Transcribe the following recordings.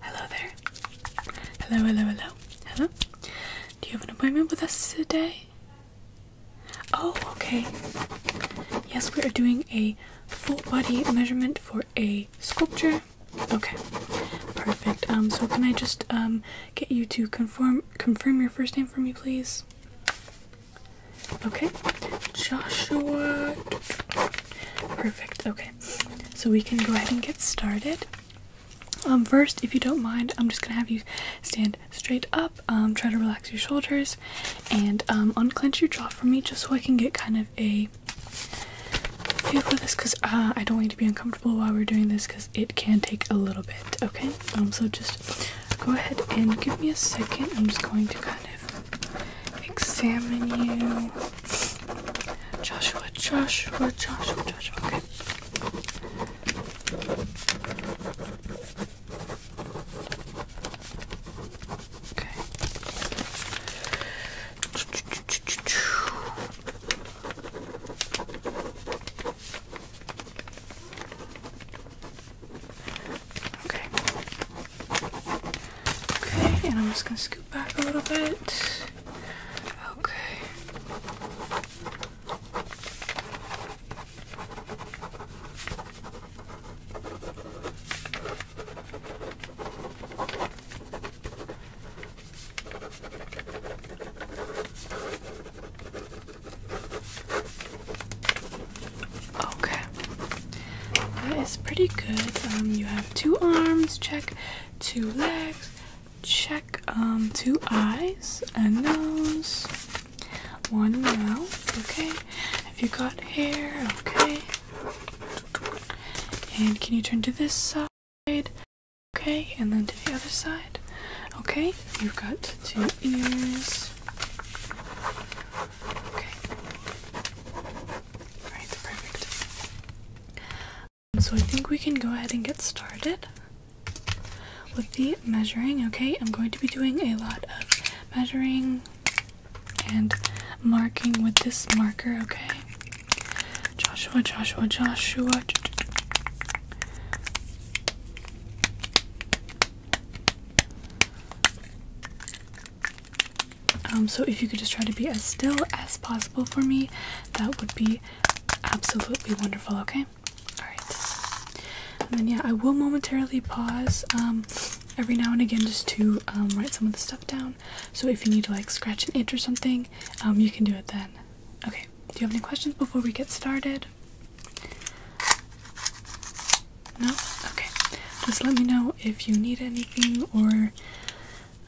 Hello there. Hello, hello, hello. Hello. Do you have an appointment with us today? Oh, okay. Yes, we are doing a full body measurement for a sculpture. Okay. Perfect. Um so can I just um get you to confirm confirm your first name for me, please? Okay, Joshua. Perfect. Okay, so we can go ahead and get started. Um, first, if you don't mind, I'm just gonna have you stand straight up. Um, try to relax your shoulders, and um, unclench your jaw for me, just so I can get kind of a feel for this. Cause uh, I don't want you to be uncomfortable while we're doing this, cause it can take a little bit. Okay. Um. So just go ahead and give me a second. I'm just going to kind of examine you. Joshua, Joshua, Joshua, Joshua. Okay. Okay. Okay. Okay, and I'm just gonna scoot back a little bit. Okay. Okay. That is pretty good. Um, you have two arms, check, two legs, check, um, two eyes, and nose, one mouth, okay. Have you got hair? Okay. And can you turn to this side? Okay, and then to the other side. Okay, you've got two ears. Okay. Alright, perfect. So I think we can go ahead and get started with the measuring. Okay, I'm going to be doing a lot of measuring and marking with this marker. Okay. Joshua, Joshua, Joshua. Um, so if you could just try to be as still as possible for me, that would be absolutely wonderful, okay? Alright. And then yeah, I will momentarily pause um, every now and again just to um, write some of the stuff down. So if you need to like scratch an itch or something, you can do it then. Okay. Do you have any questions before we get started? No? Okay. Just let me know if you need anything or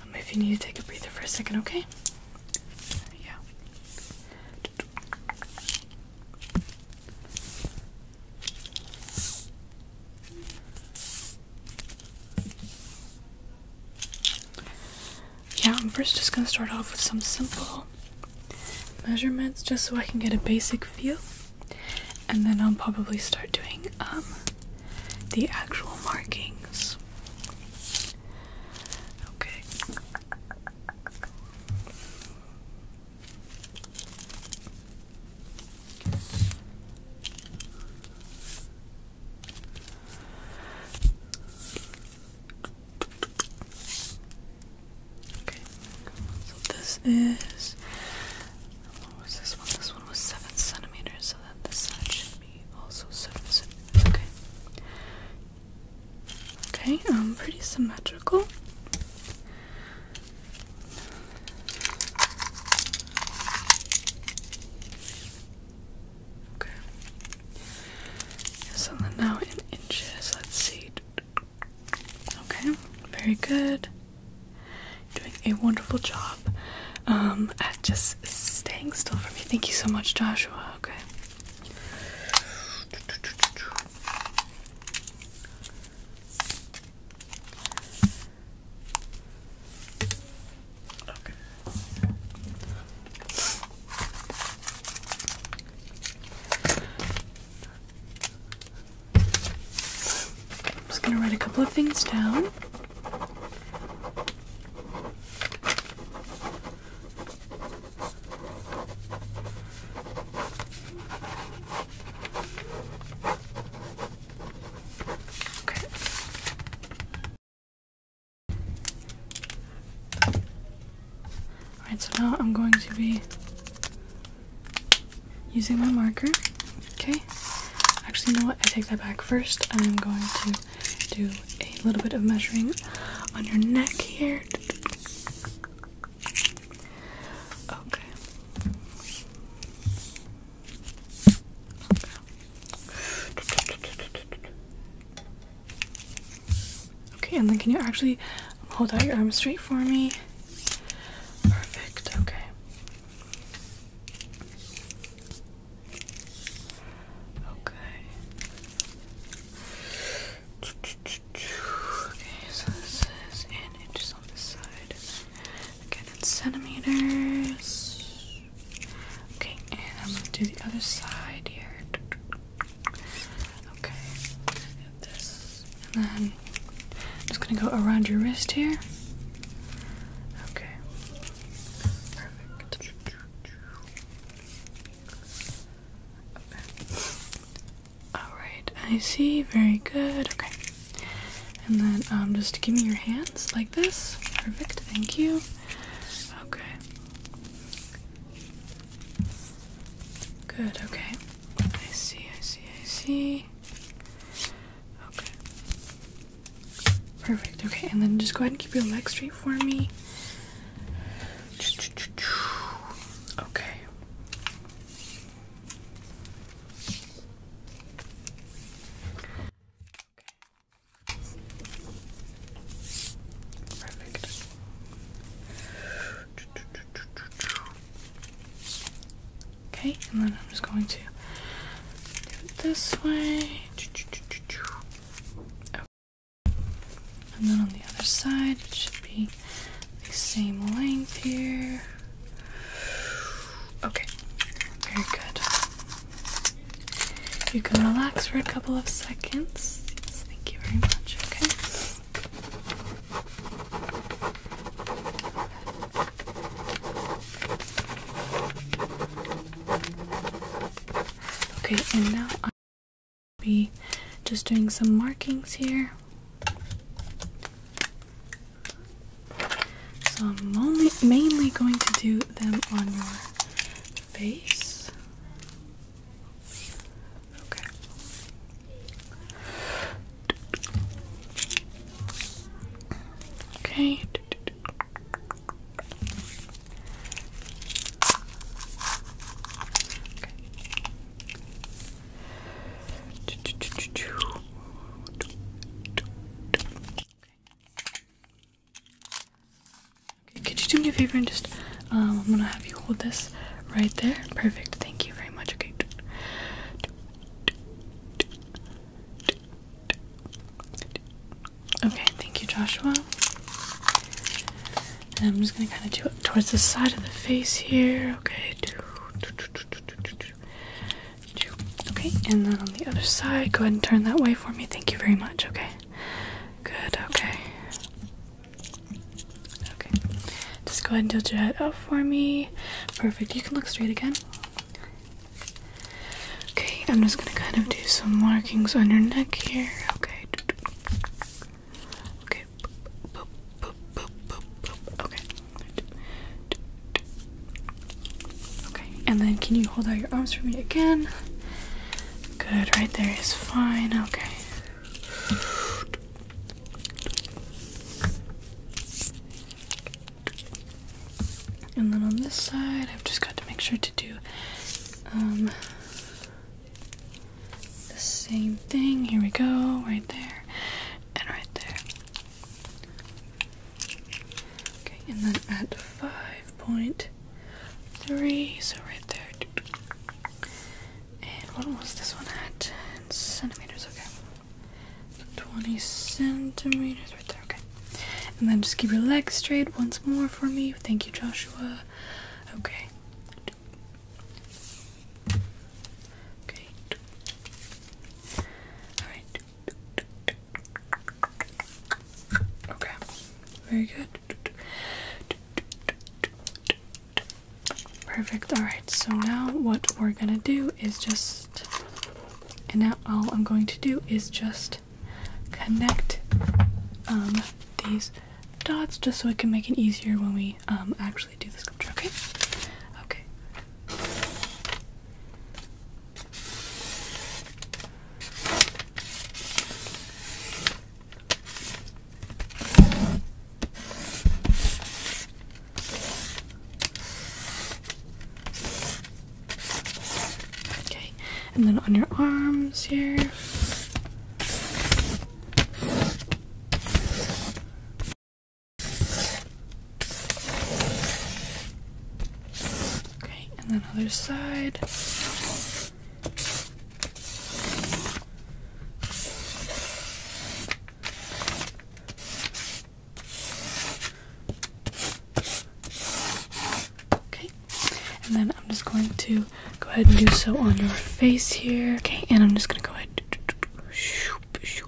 um, if you need to take a breather for a second, okay? Yeah. Yeah, I'm first just gonna start off with some simple measurements just so I can get a basic feel, and then I'll probably start doing um, the actual markings. Okay. Okay, so this is what was this one? This one was seven centimeters, so that this side should be also seven centimeters. Okay. Okay, um, pretty symmetrical. Okay. So now inches. Let's see. Okay, very good. Doing a wonderful job um, at just staying still for me. Thank you so much, Joshua. Okay. I'm just going to write a couple of things down. Okay. Alright, so now I'm going to be using my marker. Okay. Actually, no. I take that back. First, I'm going to do a little bit of measuring on your neck here. Okay. Okay, and then can you actually hold out your arm straight for me? Perfect, okay. Okay. Okay, so this is in inches on this side. Again, centimeters. Okay, and I'm gonna do the other side here. Okay, get this, and then I'm just gonna go around your wrist here. Okay, perfect. All right, I see. Very good. Okay, and then I'm um, just give me your hands like this. Perfect. Thank you. Okay. Good, okay. I see, I see, I see. Okay. Perfect, okay, and then just go ahead and keep your legs straight for me. Okay. Perfect. Okay, and then I'm just going to do it this way. Oh. And then on the other side, it should be the same length here. Okay, very good. You can relax for a couple of seconds. thank you very much. Okay. Okay, and now I'll be just doing some markings here. So I'm only mainly going to do them on your face. Okay. Okay. Okay. Okay, could you do me a favor and just, um, I'm gonna have you hold this right there. Perfect. Thank you very much. Okay. Okay, thank you, Joshua. And I'm just gonna kind of do it towards the side of the face here. Okay. Okay, and then on the other side, go ahead and turn that way for me. Thank you very much. Okay, good. Okay, okay. Just go ahead and tilt your head up for me. Perfect. You can look straight again. Okay, I'm just gonna kind of do some markings on your neck here. Okay. Okay. Okay. Okay, and then can you hold out your arms for me again? Good, right there is fine. Okay. And then on this side, I've just got to make sure to do um, the same thing. Here we go, right there, and right there. Okay, and then at 5.3, so right there. And what was this one at? In centimeters, okay. 20 centimeters right there, okay. And then just keep your legs straight once more for me. Thank you, Joshua. Okay. Okay. Alright. Okay, very good. Perfect. Alright, so now what we're gonna do is just. And now all I'm going to do is just connect um, these dots just so it can make it easier when we um, actually do the sculpture, okay? Okay, Okay, and then on your arms here. Okay, and then other side. Okay, and then I'm just going to go ahead and do so on your face here. Okay, and I'm just gonna go ahead. Okay,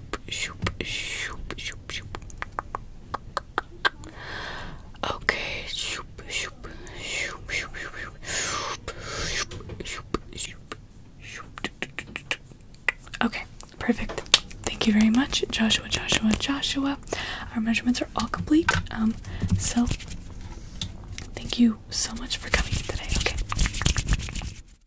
Okay, perfect. Thank you very much, Joshua, Joshua, Joshua. Our measurements are all complete. Um, so thank you so much for coming today. Okay.